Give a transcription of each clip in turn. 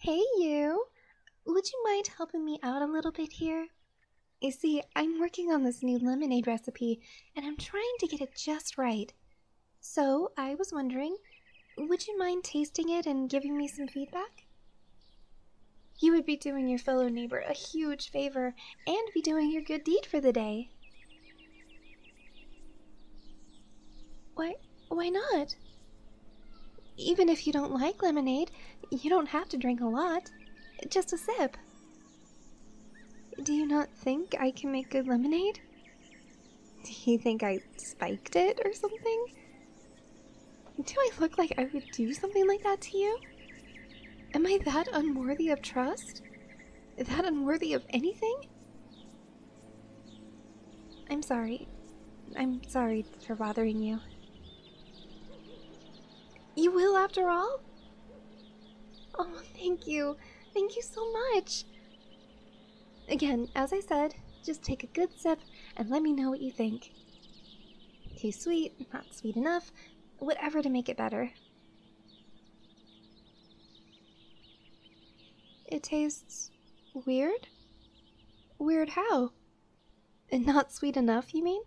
Hey, you! Would you mind helping me out a little bit here? You see, I'm working on this new lemonade recipe and I'm trying to get it just right. So, I was wondering would you mind tasting it and giving me some feedback? You would be doing your fellow neighbor a huge favor and be doing your good deed for the day. Why, why not? Even if you don't like lemonade, you don't have to drink a lot. Just a sip. Do you not think I can make good lemonade? Do you think I spiked it or something? Do I look like I would do something like that to you? Am I that unworthy of trust? That unworthy of anything? I'm sorry. I'm sorry for bothering you. You will, after all? Oh, thank you. Thank you so much. Again, as I said, just take a good sip and let me know what you think. Too sweet, not sweet enough, whatever to make it better. It tastes weird? Weird how? And not sweet enough, you mean?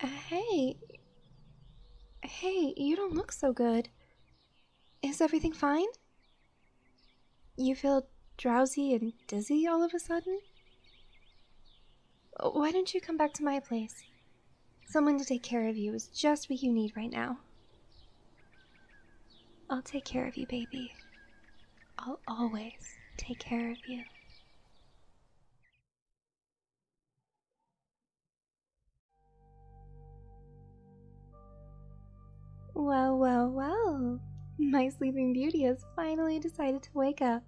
Uh, hey. Hey, you don't look so good. Is everything fine? You feel drowsy and dizzy all of a sudden? Why don't you come back to my place? Someone to take care of you is just what you need right now. I'll take care of you, baby. I'll always take care of you. Well, well, well, my sleeping beauty has finally decided to wake up.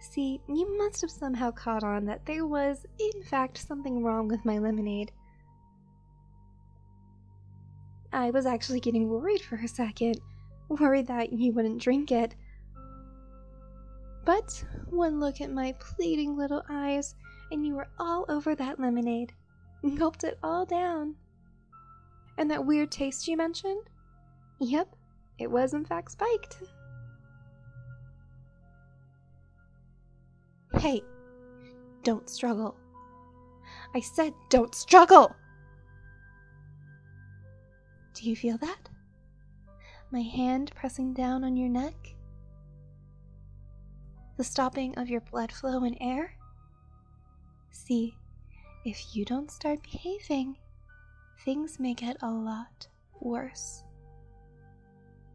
See, you must have somehow caught on that there was, in fact, something wrong with my lemonade. I was actually getting worried for a second, worried that you wouldn't drink it. But one look at my pleading little eyes, and you were all over that lemonade gulped it all down. And that weird taste you mentioned? Yep, it was in fact spiked. Hey, don't struggle. I said don't struggle! Do you feel that? My hand pressing down on your neck? The stopping of your blood flow and air? See, if you don't start behaving, things may get a lot worse.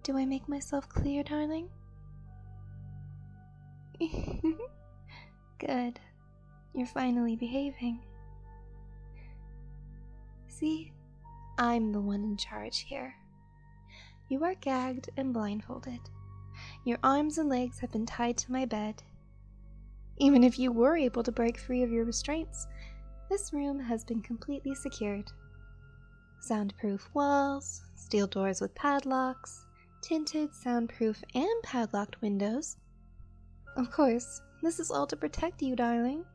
Do I make myself clear, darling? Good. You're finally behaving. See, I'm the one in charge here, you are gagged and blindfolded. Your arms and legs have been tied to my bed. Even if you were able to break free of your restraints, this room has been completely secured. Soundproof walls, steel doors with padlocks, tinted, soundproof, and padlocked windows. Of course, this is all to protect you, darling.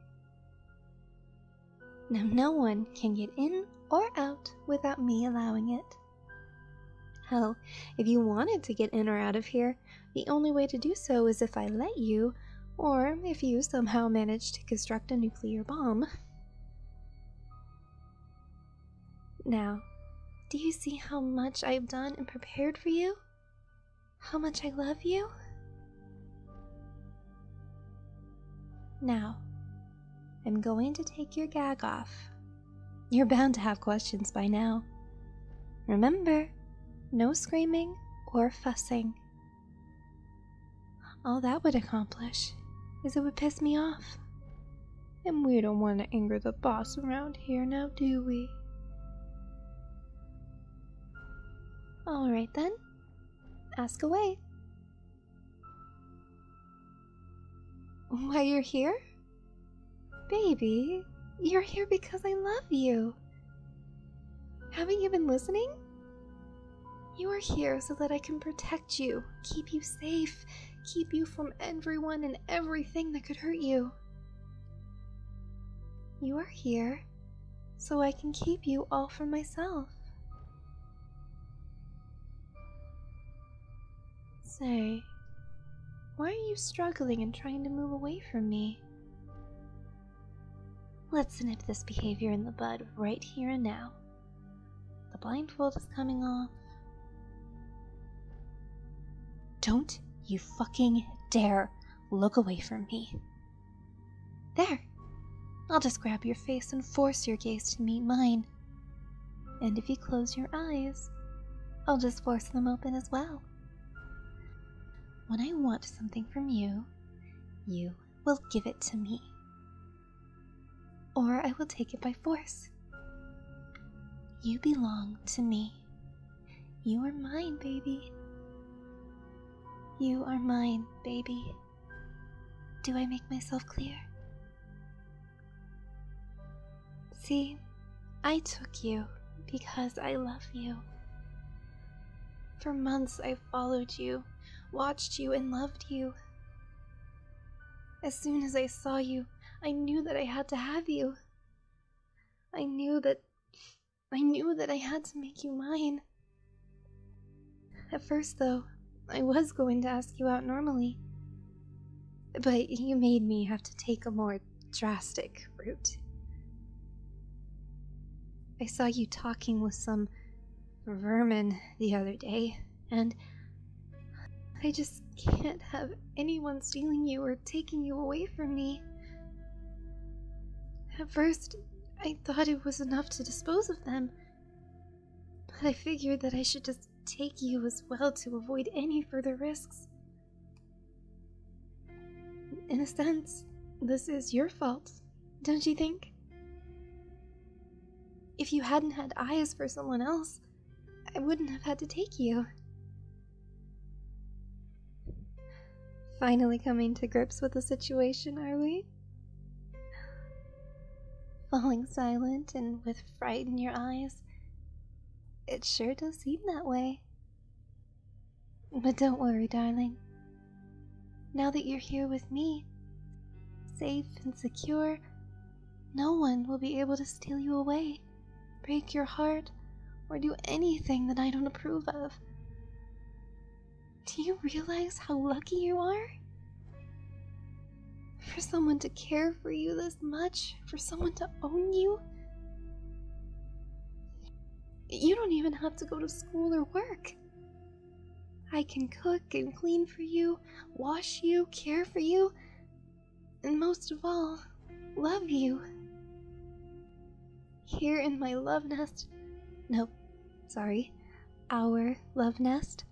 Now, no one can get in or out without me allowing it. Hell, if you wanted to get in or out of here, the only way to do so is if I let you, or if you somehow manage to construct a nuclear bomb. Now, do you see how much I've done and prepared for you? How much I love you? Now, I'm going to take your gag off. You're bound to have questions by now. Remember, no screaming or fussing. All that would accomplish is it would piss me off. And we don't want to anger the boss around here now, do we? Alright then, ask away. Why you're here? Baby, you're here because I love you. Haven't you been listening? You are here so that I can protect you, keep you safe, keep you from everyone and everything that could hurt you. You are here so I can keep you all for myself. Say, why are you struggling and trying to move away from me? Let's nip this behavior in the bud right here and now. The blindfold is coming off. Don't you fucking dare look away from me. There! I'll just grab your face and force your gaze to meet mine. And if you close your eyes, I'll just force them open as well. When I want something from you, you will give it to me. Or I will take it by force. You belong to me. You are mine, baby. You are mine, baby. Do I make myself clear? See, I took you because I love you. For months I followed you, watched you, and loved you. As soon as I saw you, I knew that I had to have you. I knew that. I knew that I had to make you mine. At first, though, I was going to ask you out normally, but you made me have to take a more drastic route. I saw you talking with some vermin the other day, and I just can't have anyone stealing you or taking you away from me. At first, I thought it was enough to dispose of them, but I figured that I should just take you as well to avoid any further risks. In a sense, this is your fault, don't you think? If you hadn't had eyes for someone else, I wouldn't have had to take you. Finally coming to grips with the situation, are we? Falling silent and with Frighten your eyes. It sure does seem that way. But don't worry, darling. Now that you're here with me, safe and secure, no one will be able to steal you away, break your heart, or do anything that I don't approve of. Do you realize how lucky you are? For someone to care for you this much? For someone to own you? You don't even have to go to school or work. I can cook and clean for you, wash you, care for you, and most of all, love you. Here in my love nest. Nope, sorry. Our love nest.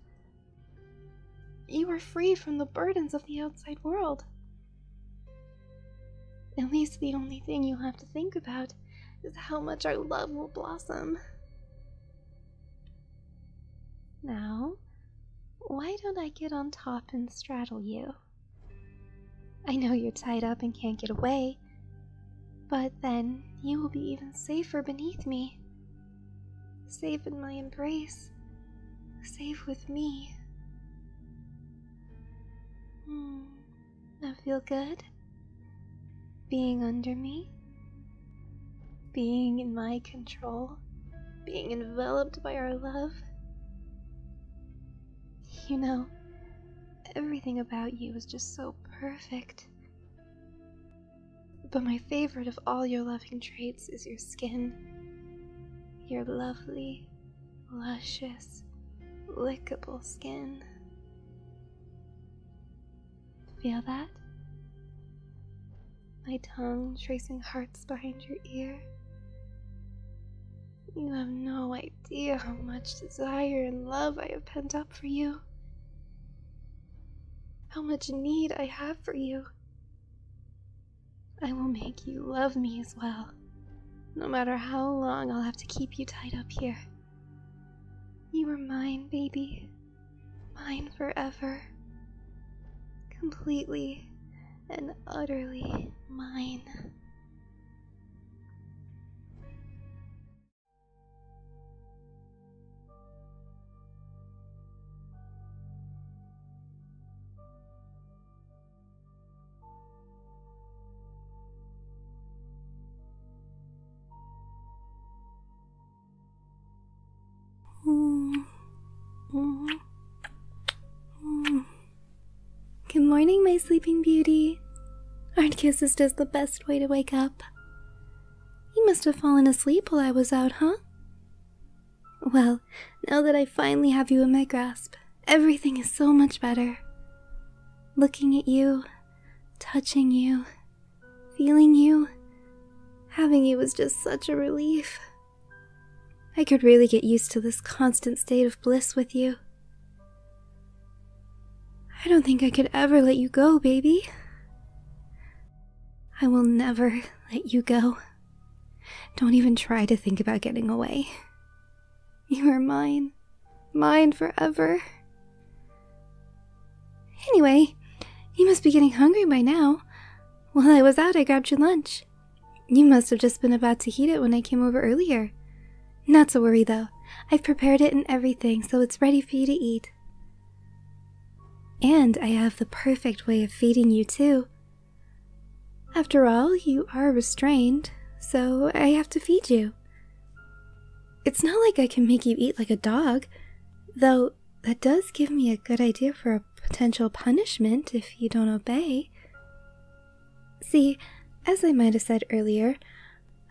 You are free from the burdens of the outside world. At least the only thing you'll have to think about is how much our love will blossom. Now, why don't I get on top and straddle you? I know you're tied up and can't get away, but then you will be even safer beneath me Safe in my embrace. Safe with me. Hmm, I feel good. Being under me. Being in my control. Being enveloped by our love. You know, everything about you is just so perfect. But my favorite of all your loving traits is your skin. Your lovely, luscious, lickable skin. Feel that? My tongue tracing hearts behind your ear. You have no idea how much desire and love I have pent up for you. How much need I have for you. I will make you love me as well, no matter how long I'll have to keep you tied up here. You are mine, baby. Mine forever. Completely and utterly mine. Mm. Good morning, my sleeping beauty. Our kiss is just the best way to wake up. You must have fallen asleep while I was out, huh? Well, now that I finally have you in my grasp, everything is so much better. Looking at you, touching you, feeling you, having you is just such a relief. I could really get used to this constant state of bliss with you. I don't think I could ever let you go, baby. I will never let you go. Don't even try to think about getting away. You are mine. Mine forever. Anyway, you must be getting hungry by now. While I was out, I grabbed you lunch. You must have just been about to heat it when I came over earlier. Not to worry though, I've prepared it and everything so it's ready for you to eat. And I have the perfect way of feeding you too. After all, you are restrained, so I have to feed you. It's not like I can make you eat like a dog, though that does give me a good idea for a potential punishment if you don't obey. See, as I might have said earlier,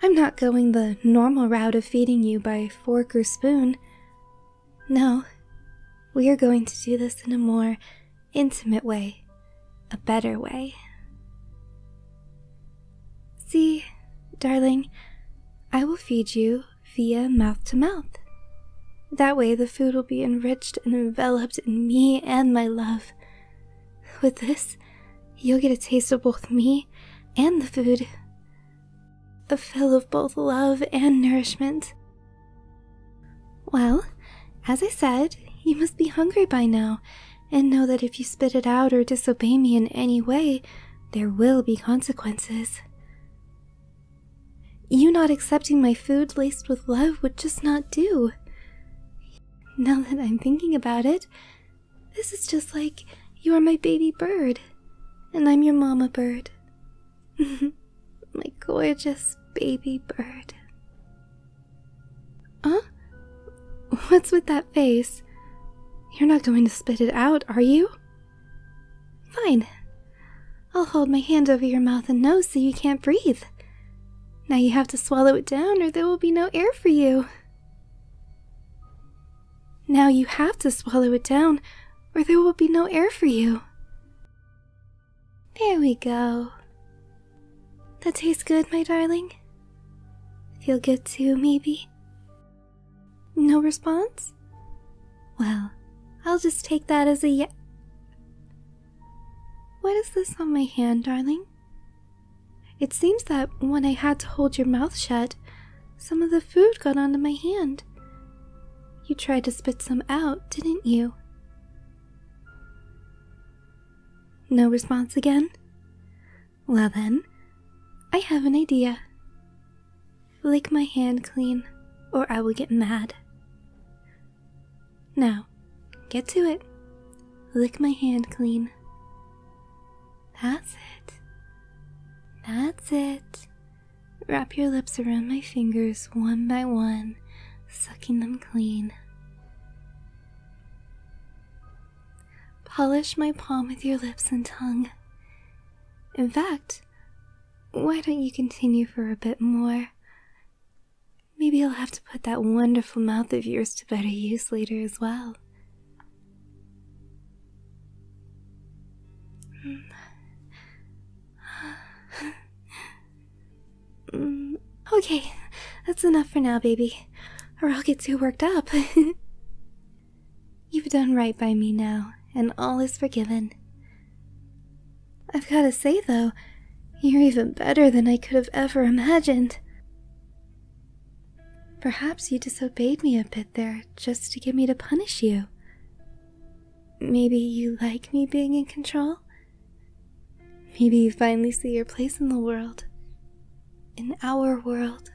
I'm not going the normal route of feeding you by fork or spoon. No, we are going to do this in a more intimate way, a better way. See, darling, I will feed you via mouth to mouth. That way, the food will be enriched and enveloped in me and my love. With this, you'll get a taste of both me and the food a fill of both love and nourishment. Well, as I said, you must be hungry by now, and know that if you spit it out or disobey me in any way, there will be consequences. You not accepting my food laced with love would just not do. Now that I'm thinking about it, this is just like you are my baby bird, and I'm your mama bird. Mm-hmm. my gorgeous baby bird. Huh? What's with that face? You're not going to spit it out, are you? Fine. I'll hold my hand over your mouth and nose so you can't breathe. Now you have to swallow it down or there will be no air for you. Now you have to swallow it down or there will be no air for you. There we go. That tastes good, my darling. Feel good too, maybe? No response? Well, I'll just take that as a ye- What is this on my hand, darling? It seems that when I had to hold your mouth shut, some of the food got onto my hand. You tried to spit some out, didn't you? No response again? Well then, I have an idea. Lick my hand clean, or I will get mad. Now, get to it. Lick my hand clean. That's it. That's it. Wrap your lips around my fingers one by one, sucking them clean. Polish my palm with your lips and tongue. In fact, why don't you continue for a bit more? Maybe i will have to put that wonderful mouth of yours to better use later as well. Hmm. okay, that's enough for now, baby, or I'll get too worked up. You've done right by me now, and all is forgiven. I've gotta say, though, you're even better than I could have ever imagined. Perhaps you disobeyed me a bit there just to get me to punish you. Maybe you like me being in control? Maybe you finally see your place in the world. In our world.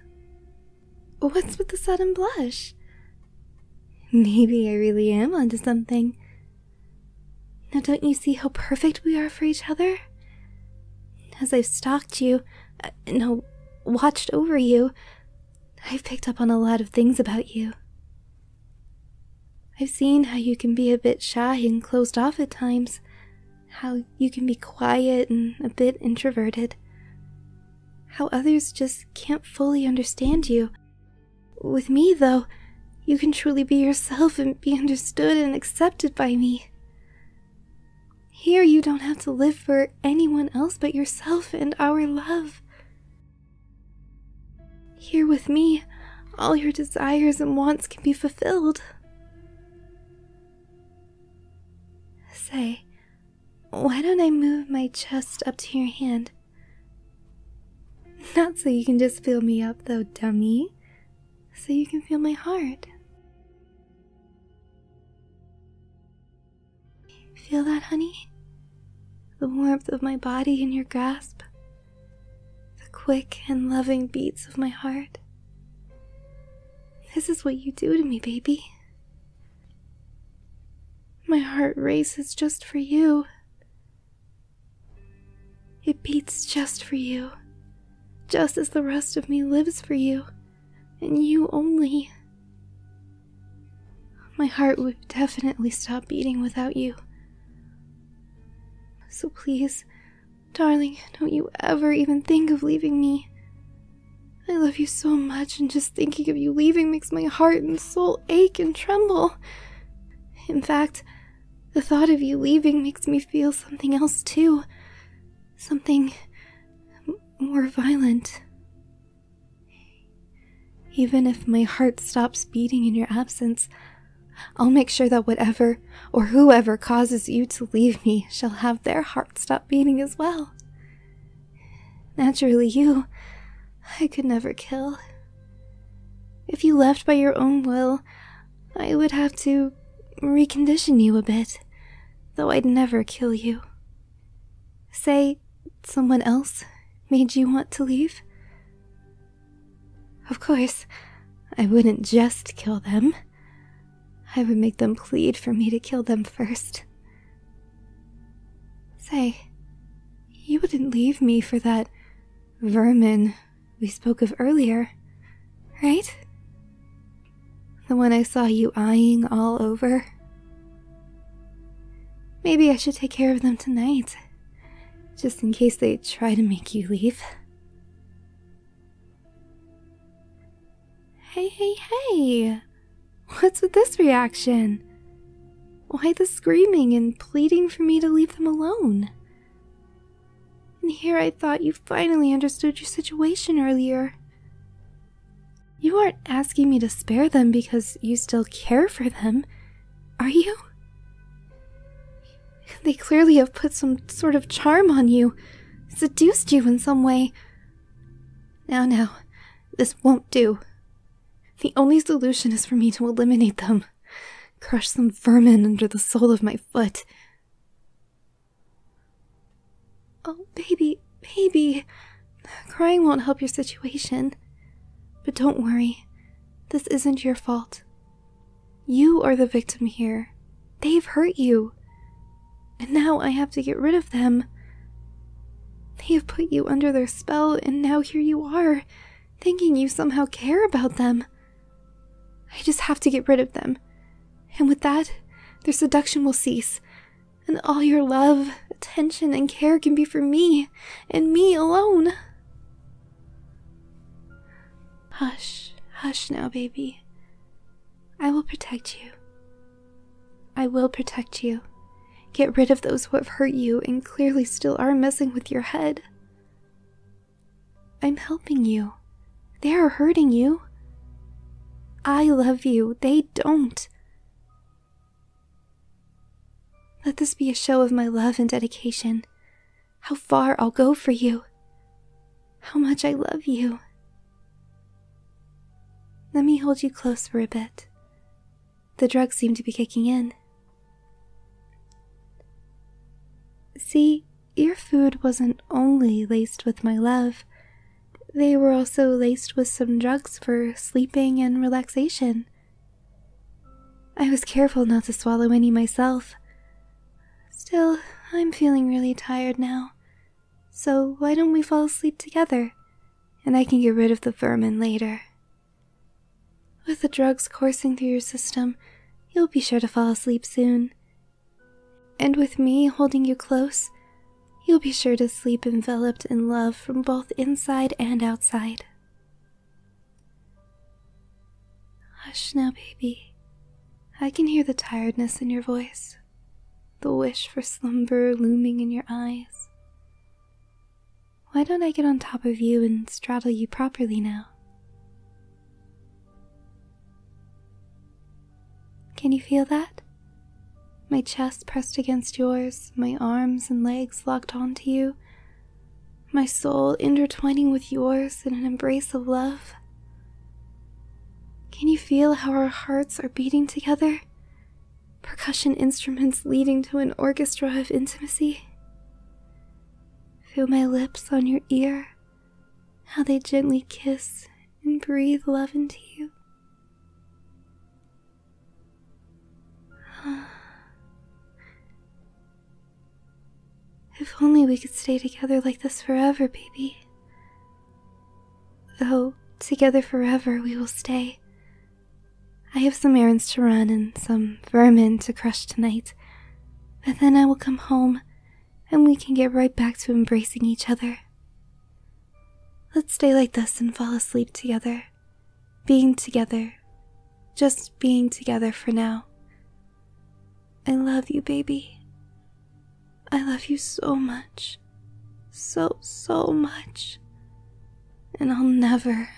What's with the sudden blush? Maybe I really am onto something. Now, don't you see how perfect we are for each other? As I've stalked you, uh, no, watched over you, I've picked up on a lot of things about you. I've seen how you can be a bit shy and closed off at times, how you can be quiet and a bit introverted, how others just can't fully understand you. With me, though, you can truly be yourself and be understood and accepted by me. Here, you don't have to live for anyone else but yourself and our love. Here with me, all your desires and wants can be fulfilled. Say, why don't I move my chest up to your hand? Not so you can just feel me up, though, dummy. So you can feel my heart. Feel that, honey? the warmth of my body in your grasp, the quick and loving beats of my heart. This is what you do to me, baby. My heart races just for you. It beats just for you, just as the rest of me lives for you, and you only. My heart would definitely stop beating without you. So please, darling, don't you ever even think of leaving me. I love you so much, and just thinking of you leaving makes my heart and soul ache and tremble. In fact, the thought of you leaving makes me feel something else too. Something more violent. Even if my heart stops beating in your absence, I'll make sure that whatever or whoever causes you to leave me shall have their heart stop beating as well. Naturally, you, I could never kill. If you left by your own will, I would have to recondition you a bit, though I'd never kill you. Say someone else made you want to leave? Of course, I wouldn't just kill them. I would make them plead for me to kill them first. Say, you wouldn't leave me for that vermin we spoke of earlier, right? The one I saw you eyeing all over. Maybe I should take care of them tonight just in case they try to make you leave. Hey, hey, hey! What's with this reaction? Why the screaming and pleading for me to leave them alone? And here I thought you finally understood your situation earlier. You aren't asking me to spare them because you still care for them. Are you? They clearly have put some sort of charm on you, seduced you in some way. Now, now, this won't do. The only solution is for me to eliminate them, crush some vermin under the sole of my foot. Oh, baby, baby, crying won't help your situation. But don't worry, this isn't your fault. You are the victim here. They've hurt you. And now I have to get rid of them. They have put you under their spell, and now here you are, thinking you somehow care about them. I just have to get rid of them. And with that, their seduction will cease, and all your love, attention, and care can be for me and me alone. Hush, hush now, baby. I will protect you. I will protect you. Get rid of those who have hurt you and clearly still are messing with your head. I'm helping you. They are hurting you. I love you. They don't. Let this be a show of my love and dedication. How far I'll go for you. How much I love you. Let me hold you close for a bit. The drugs seem to be kicking in. See, your food wasn't only laced with my love, they were also laced with some drugs for sleeping and relaxation, I was careful not to swallow any myself. Still, I'm feeling really tired now. So, why don't we fall asleep together? And I can get rid of the vermin later. With the drugs coursing through your system, you'll be sure to fall asleep soon. And with me holding you close, you'll be sure to sleep enveloped in love from both inside and outside. Hush now, baby. I can hear the tiredness in your voice, the wish for slumber looming in your eyes. Why don't I get on top of you and straddle you properly now? Can you feel that? My chest pressed against yours, my arms and legs locked onto you, my soul intertwining with yours in an embrace of love. Can you feel how our hearts are beating together? Percussion instruments leading to an orchestra of intimacy. Feel my lips on your ear, how they gently kiss and breathe love into you. If only we could stay together like this forever, baby. Though, together forever we will stay. I have some errands to run and some vermin to crush tonight, but then I will come home and we can get right back to embracing each other. Let's stay like this and fall asleep together being together, just being together for now. I love you, baby. I love you so much. So, so much. And I'll never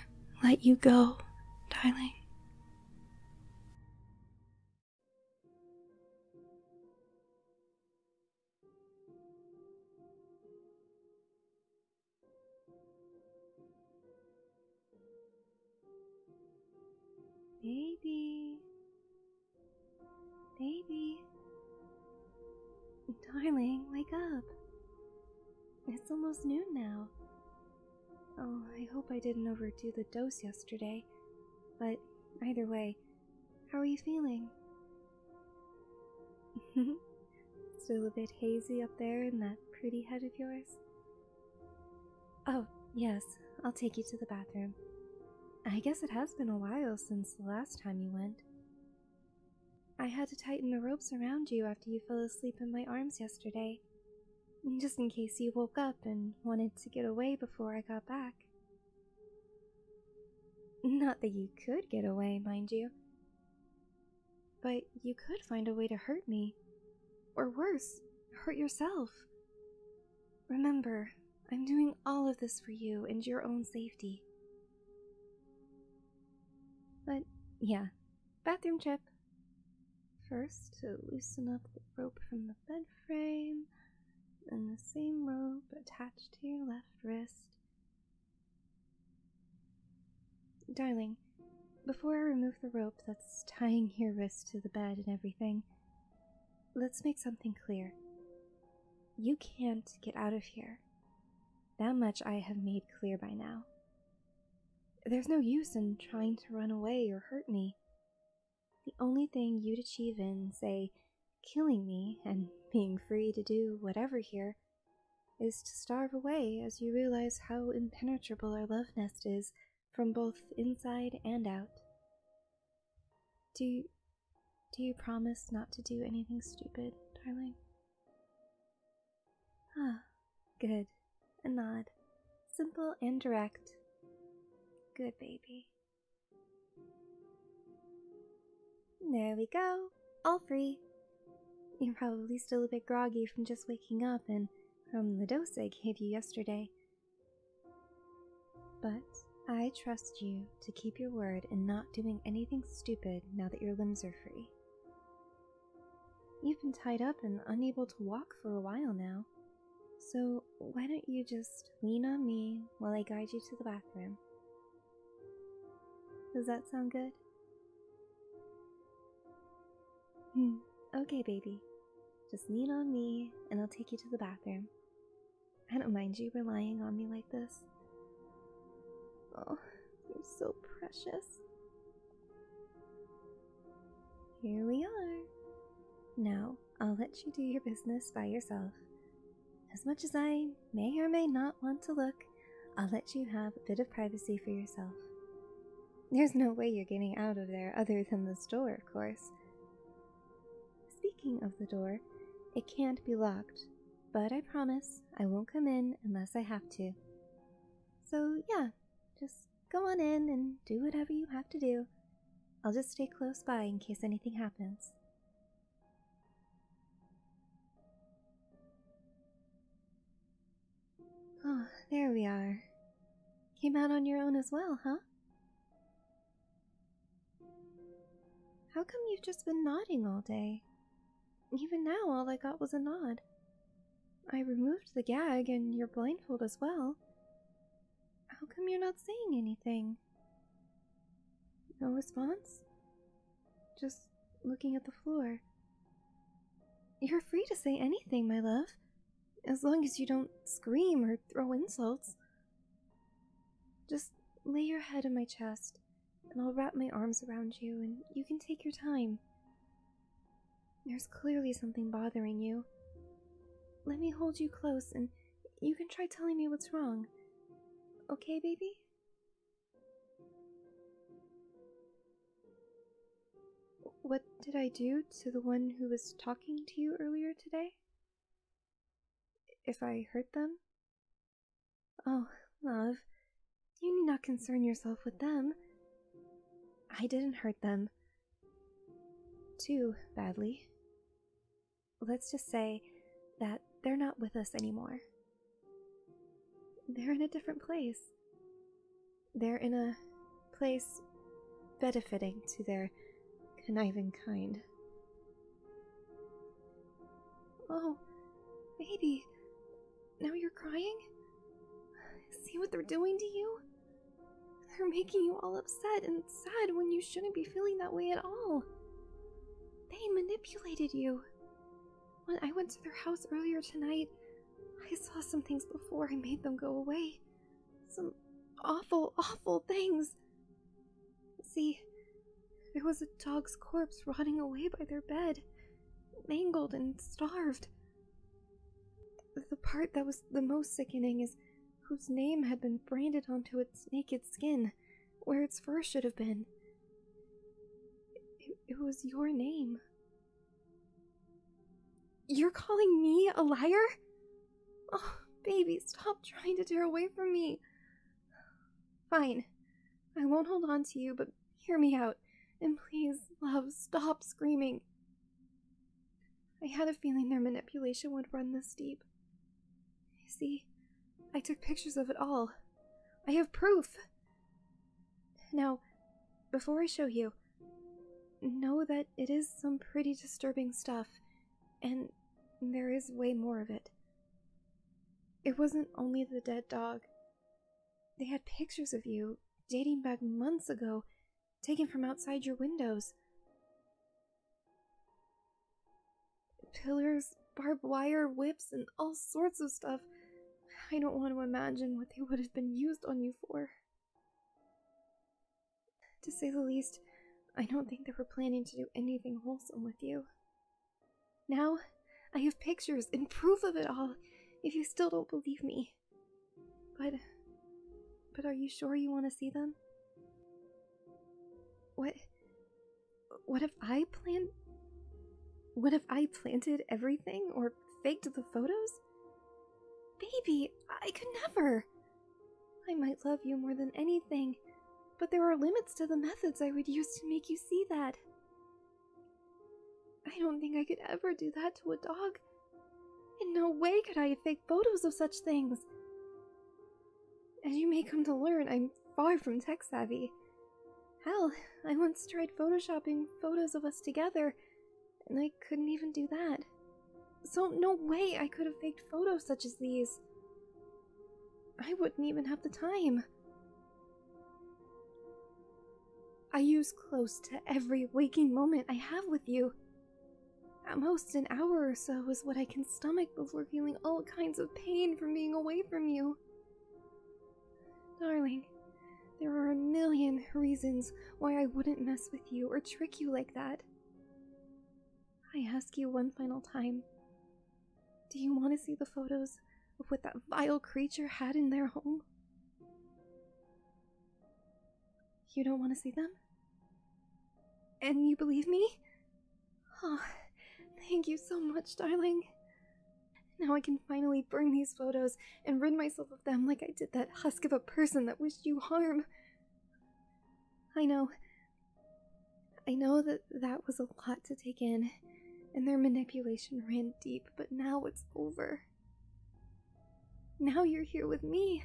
let you go, darling. Baby. Baby. Darling, wake up. It's almost noon now. Oh, I hope I didn't overdo the dose yesterday. But either way, how are you feeling? Still a bit hazy up there in that pretty head of yours? Oh, yes, I'll take you to the bathroom. I guess it has been a while since the last time you went. I had to tighten the ropes around you after you fell asleep in my arms yesterday, just in case you woke up and wanted to get away before I got back. Not that you could get away, mind you. But you could find a way to hurt me. Or worse, hurt yourself. Remember, I'm doing all of this for you and your own safety. But yeah, bathroom trip. First, to loosen up the rope from the bed frame, and the same rope attached to your left wrist, Darling, before I remove the rope that's tying your wrists to the bed and everything, let's make something clear. You can't get out of here. That much I have made clear by now. There's no use in trying to run away or hurt me. The only thing you'd achieve in, say, killing me and being free to do whatever here is to starve away as you realize how impenetrable our love nest is from both inside and out. Do you, do you promise not to do anything stupid, darling? Ah, good. A nod. Simple and direct. Good baby. there we go all free. You're probably still a bit groggy from just waking up and from the dose I gave you yesterday. But I trust you to keep your word and not doing anything stupid now that your limbs are free. You've been tied up and unable to walk for a while now, so why don't you just lean on me while I guide you to the bathroom? Does that sound good? Hmm. Okay, baby. Just lean on me and I'll take you to the bathroom. I don't mind you relying on me like this. Oh, you're so precious. Here we are. Now, I'll let you do your business by yourself. As much as I may or may not want to look, I'll let you have a bit of privacy for yourself. There's no way you're getting out of there other than this door, of course. Speaking of the door, it can't be locked, but I promise I won't come in unless I have to. So, yeah, just go on in and do whatever you have to do. I'll just stay close by in case anything happens. Oh, there we are. Came out on your own as well, huh? How come you've just been nodding all day? Even now, all I got was a nod. I removed the gag and your blindfold as well. How come you're not saying anything? No response? Just looking at the floor. You're free to say anything, my love, as long as you don't scream or throw insults. Just lay your head on my chest, and I'll wrap my arms around you, and you can take your time. There's clearly something bothering you. Let me hold you close, and you can try telling me what's wrong. Okay, baby? What did I do to the one who was talking to you earlier today? If I hurt them? Oh, love, you need not concern yourself with them. I didn't hurt them. Too badly. Let's just say that they're not with us anymore. They're in a different place. They're in a place benefiting to their conniving kind. Oh, baby, now you're crying? See what they're doing to you? They're making you all upset and sad when you shouldn't be feeling that way at all. They manipulated you. When I went to their house earlier tonight, I saw some things before I made them go away. Some awful, awful things. See, there was a dog's corpse rotting away by their bed, mangled and starved. The part that was the most sickening is whose name had been branded onto its naked skin, where its fur should have been. It, was your name. You're calling me a liar? Oh, baby, stop trying to tear away from me. Fine. I won't hold on to you, but hear me out. And please, love, stop screaming. I had a feeling their manipulation would run this deep. See, I took pictures of it all. I have proof. Now, before I show you, know that it is some pretty disturbing stuff, and there is way more of it. It wasn't only the dead dog. They had pictures of you, dating back months ago, taken from outside your windows. Pillars, barbed wire, whips, and all sorts of stuff I don't want to imagine what they would have been used on you for. To say the least, I don't think they were planning to do anything wholesome with you. Now, I have pictures in proof of it all, if you still don't believe me. But. But are you sure you want to see them? What. What if I plant. What if I planted everything or faked the photos? Baby, I could never. I might love you more than anything, but there are limits to the methods I would use to make you see that. I don't think I could ever do that to a dog. In no way could I fake photos of such things. As you may come to learn, I'm far from tech savvy. Hell, I once tried photoshopping photos of us together, and I couldn't even do that. So, no way I could have faked photos such as these. I wouldn't even have the time. I use close to every waking moment I have with you. At most, an hour or so is what I can stomach before feeling all kinds of pain from being away from you. Darling, there are a million reasons why I wouldn't mess with you or trick you like that. I ask you one final time Do you want to see the photos of what that vile creature had in their home? You don't want to see them? And you believe me? Oh, thank you so much, darling. Now I can finally burn these photos and rid myself of them like I did that husk of a person that wished you harm. I know. I know that that was a lot to take in, and their manipulation ran deep, but now it's over. Now you're here with me,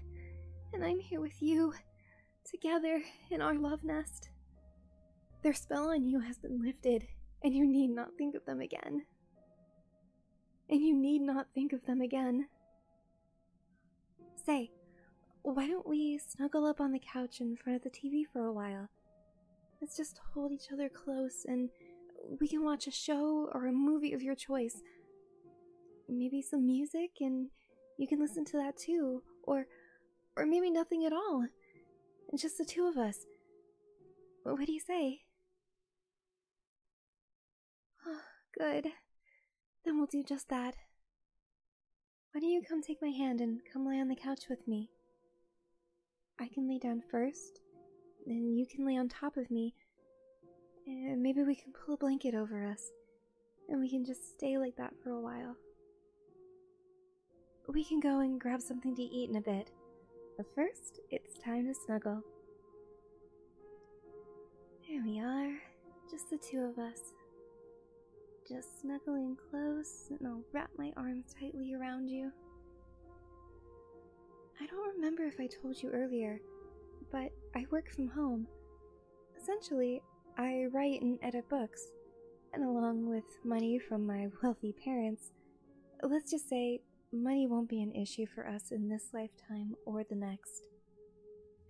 and I'm here with you, together in our love nest. Their spell on you has been lifted, and you need not think of them again and you need not think of them again. Say, why don't we snuggle up on the couch in front of the TV for a while? Let's just hold each other close and we can watch a show or a movie of your choice. Maybe some music and you can listen to that too, or or maybe nothing at all. Just the two of us. What do you say? Oh, good. Then we'll do just that. Why don't you come take my hand and come lie on the couch with me? I can lay down first, then you can lay on top of me. maybe we can pull a blanket over us, and we can just stay like that for a while. We can go and grab something to eat in a bit, but first, it's time to snuggle. Here we are, just the two of us. Just snuggling close, and I'll wrap my arms tightly around you. I don't remember if I told you earlier, but I work from home. Essentially, I write and edit books, and along with money from my wealthy parents, let's just say money won't be an issue for us in this lifetime or the next.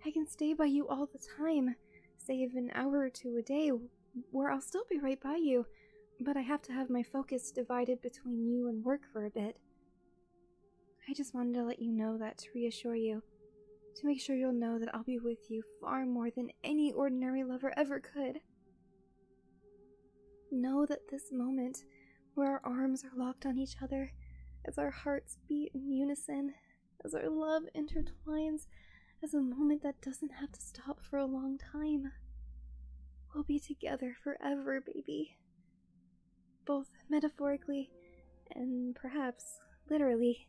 I can stay by you all the time, save an hour or two a day, where I'll still be right by you, but I have to have my focus divided between you and work for a bit. I just wanted to let you know that to reassure you, to make sure you'll know that I'll be with you far more than any ordinary lover ever could. Know that this moment, where our arms are locked on each other, as our hearts beat in unison, as our love intertwines, as a moment that doesn't have to stop for a long time. We'll be together forever, baby. Both metaphorically and perhaps literally.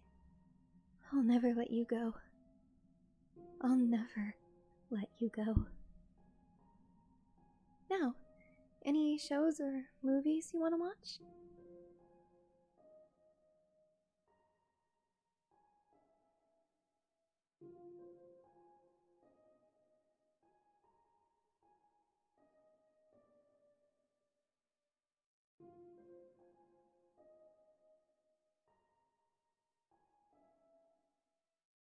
I'll never let you go. I'll never let you go. Now, any shows or movies you want to watch?